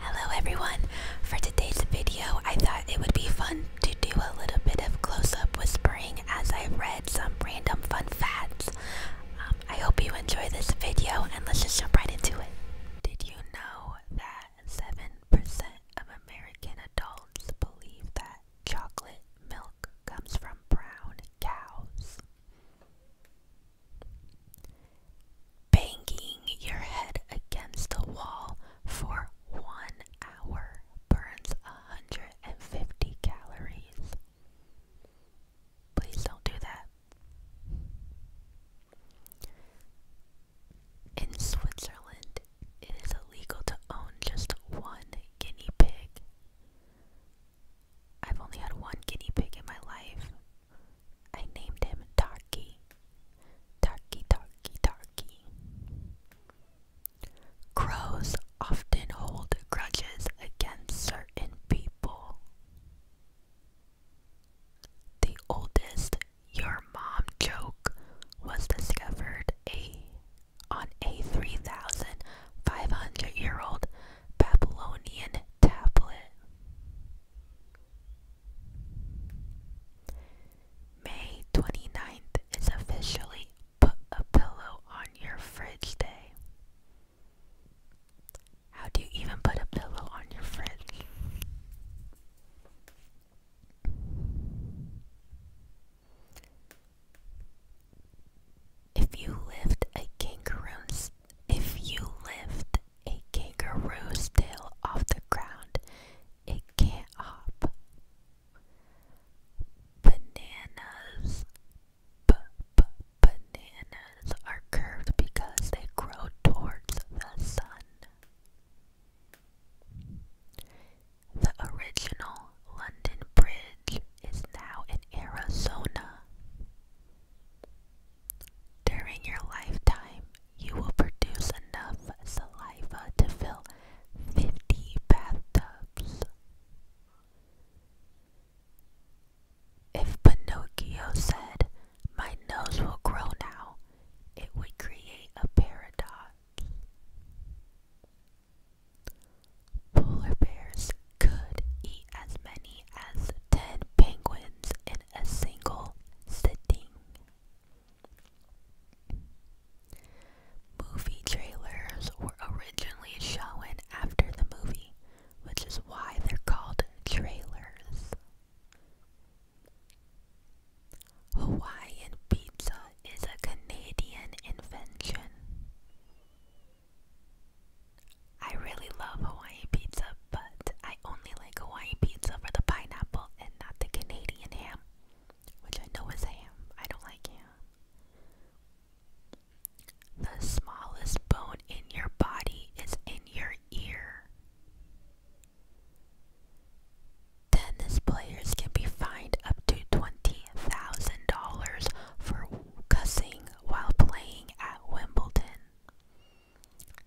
Hello everyone! For today's video, I thought it would be fun to do a little bit of close-up whispering as I read some random fun facts. Um, I hope you enjoy this video and let's just jump right into it. Did you know that 7% of American adults believe that chocolate milk comes from brown cows? Banging your head against a wall for one hour burns 150 calories. Please don't do that. In Switzerland, it is illegal to own just one guinea pig. I've only had one guinea pig in my life, I named him Darky. Darky, darky, darky. Crows often hold grudges against certain people. The oldest your mom joke was discovered a on a 3,500 year old Babylonian tablet. May 29th is officially Put a Pillow on Your Fridge Day. How do you even put a pillow on your fridge? If you lived a kangaroo if you lift a kangaroo's tail off the ground, it can't hop. Bananas. B -b bananas are curved because they grow towards the sun. The original London Bridge is now in Arizona. During your lifetime, you will produce enough saliva to fill 50 bathtubs. If Pinocchio said, My nose will grow now, it would create a paradox. Polar bears could eat as many as 10 penguins in a single sitting. Movie trailers were originally shown after the movie, which is why they're called trailers. Hawaiian pizza is a Canadian invention. I really love Hawaiian pizza, but I only like Hawaiian pizza for the pineapple and not the Canadian ham, which I know is ham. I don't like ham. The smallest bone in your body is in your ear. Tennis players can be fined up to $20,000 for cussing while playing at Wimbledon.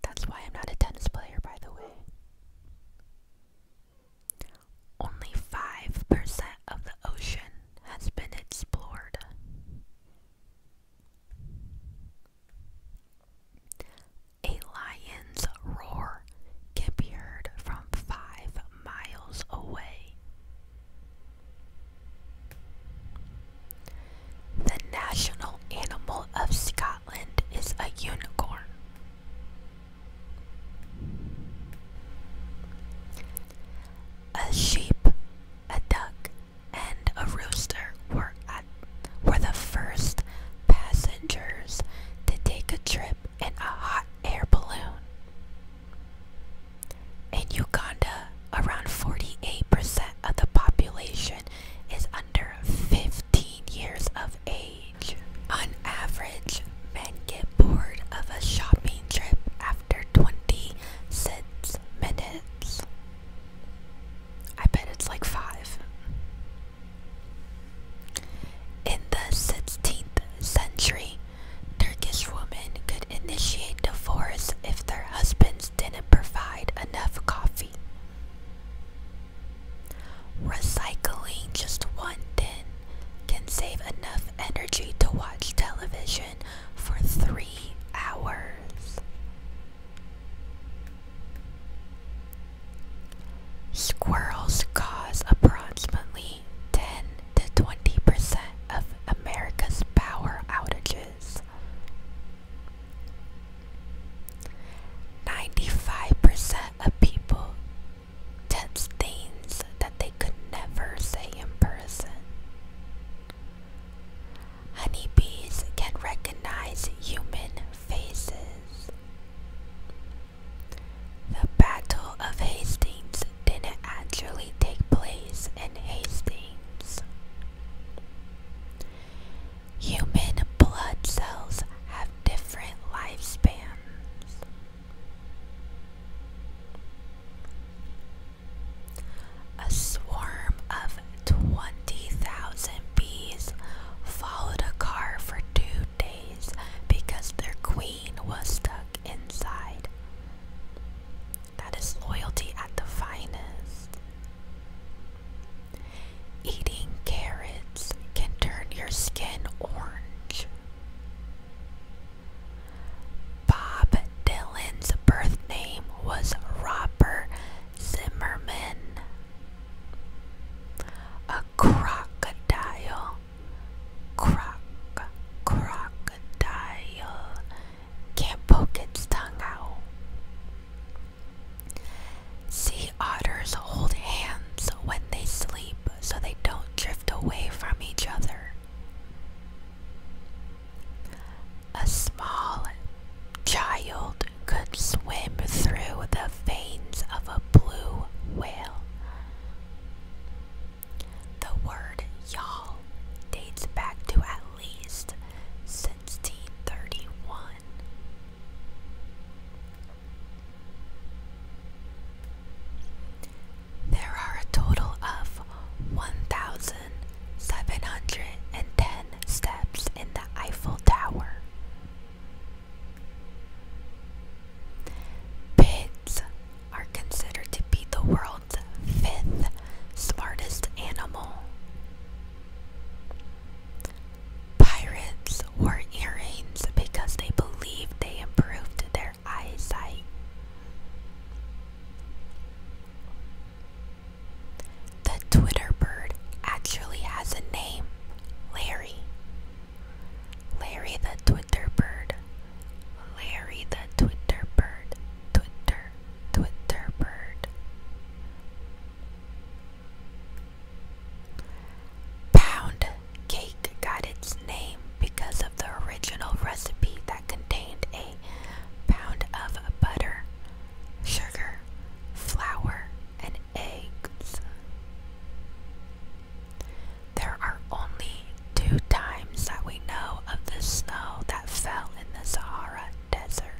That's why I'm not a tennis player, by the way. Only 5% of the ocean has been explored. A lion's roar can be heard from five miles away. The national animal of Scotland is a unicorn. A sheep, a duck, and a rooster were the first passengers to take a trip in a hot air balloon. In Uganda, around 48% of the population is under 15 years of age. On average, men get bored of a shopping trip after 26 minutes. I bet it's like five. In the 16th century, Turkish women could initiate divorce if their husbands didn't provide enough coffee. Recycling just one tin can save enough energy to watch television for three hours. Squirrels cause approximately 10 the 20% of America's power outages. 95% of people text things that they could never say in person. Honeybees can recognize human faces. The Battle of Hastings didn't actually take place in Hastings. Human blood cells have different lifespans. A swarm of 20,000 bees followed a car for two days because their queen was stuck inside. That is loyalty at the finest. Eating carrots can turn your skin orange. Bob Dylan's birth name was Robert Zimmerman. A crocodile Croc, crocodile can't poke its tongue out. Sea otters hold hands when they sleep so they don't drift away from each other. A small child could swim through the veins of a blue whale. The word y'all dates back to at least 1631. There are a total of 1,710 steps in the Eiffel Tower. Pigs are considered to be the world's fifth smartest animal. Pirates wore earrings because they believed they improved their eyesight. The Twitter bird actually has a name, Larry. Larry the Twitter Bird. Larry the Twitter Bird. Twitter, Twitter Bird. Pound cake got its name because of the original recipe that contained a pound of butter, sugar, flour, and eggs. There are only two times that we know of the snow that fell in the Sahara Desert.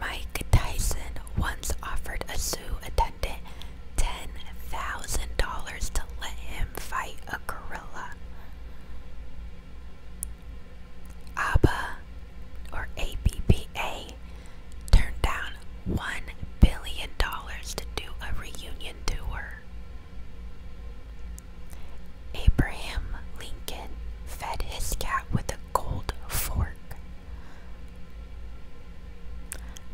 Mike Tyson once offered a zoo attendant $10,000 to let him fight a gorilla. ABBA or ABBA turned down $1 billion to do a reunion tour. Abraham Lincoln fed his cat with a gold fork.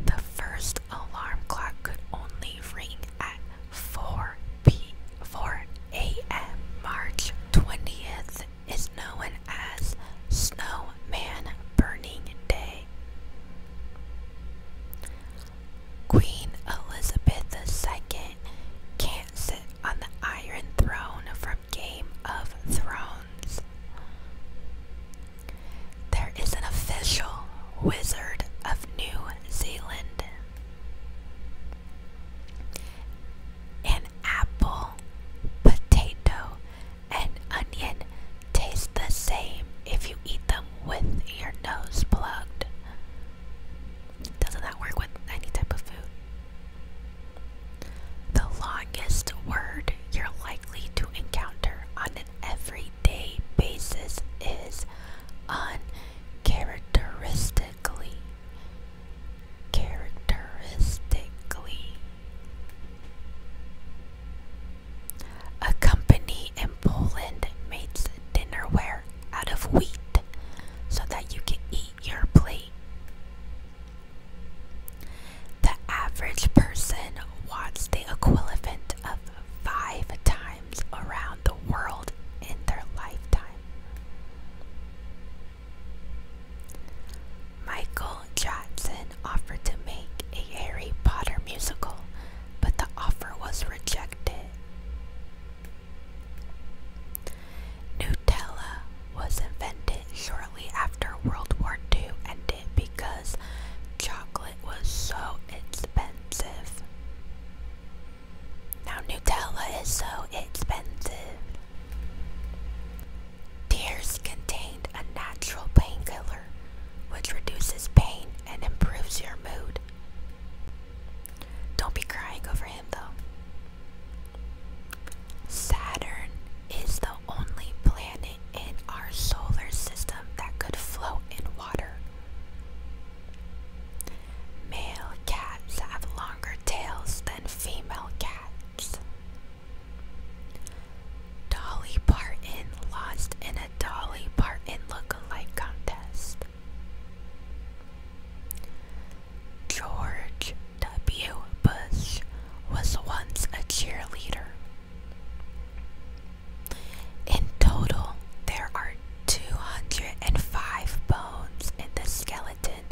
The first alarm clock could only ring at 4 p 4 a.m. March 20th is known as Snowman Burning Day. Queen Elizabeth II can't sit on the Iron Throne from Game of Thrones. There is an official Wizard of New Zealand. An apple, potato, and onion taste the same if you eat them with your nose plugged. Doesn't that work with any type of food? The longest word you're likely to encounter on an everyday basis is uncharacteristically. Characteristically. A company in Poland makes dinnerware out of wheat so that you can eat your plate. The average person wants the equivalent of five times around the world in their lifetime. Michael Jackson offered to make a Harry Potter musical, but the offer was rejected. Nutella was invented shortly after World War II ended because chocolate was so expensive. Now, Nutella is so expensive. Tears contained a natural painkiller which reduces pain and improves your mood. Don't be crying over him though. Saturn is the only planet in our solar system that could float in water. Male cats have longer tails than female cats. Dolly Parton lost in a Dolly Parton look-alike contest. George W. Bush was once a cheerleader. In total, there are 205 bones in the skeleton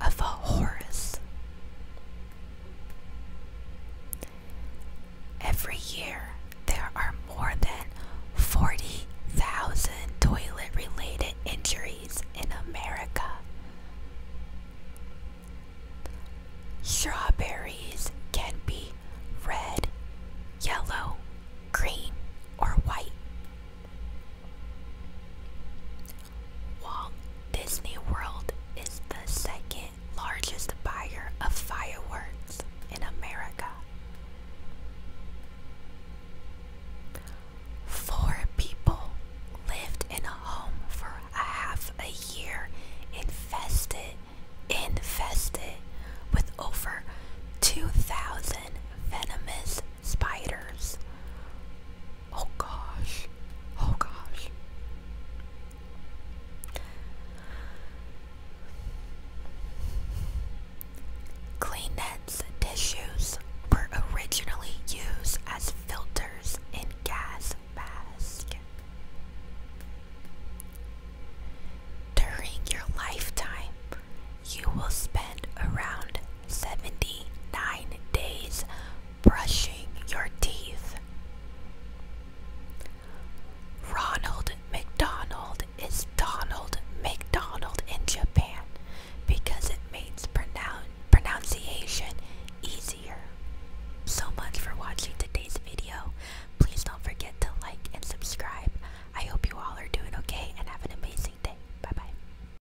of a horse. Every year, there are more than 40,000 toilet related injuries in America. Strawberries can be red, yellow, green, or white. Walt Disney World is the second largest buyer of fireworks in America. Four people lived in a home for a half a year infested infested with over 2,000 venomous spiders. Oh gosh. Oh gosh. Clean tissues were originally used as filters in gas masks. During your lifetime, you will spend around 79 days brushing your teeth. Ronald McDonald is Donald McDonald in Japan because it makes pronunciation easier. So much for watching today's video. Please don't forget to like and subscribe. I hope you all are doing okay and have an amazing day. Bye bye.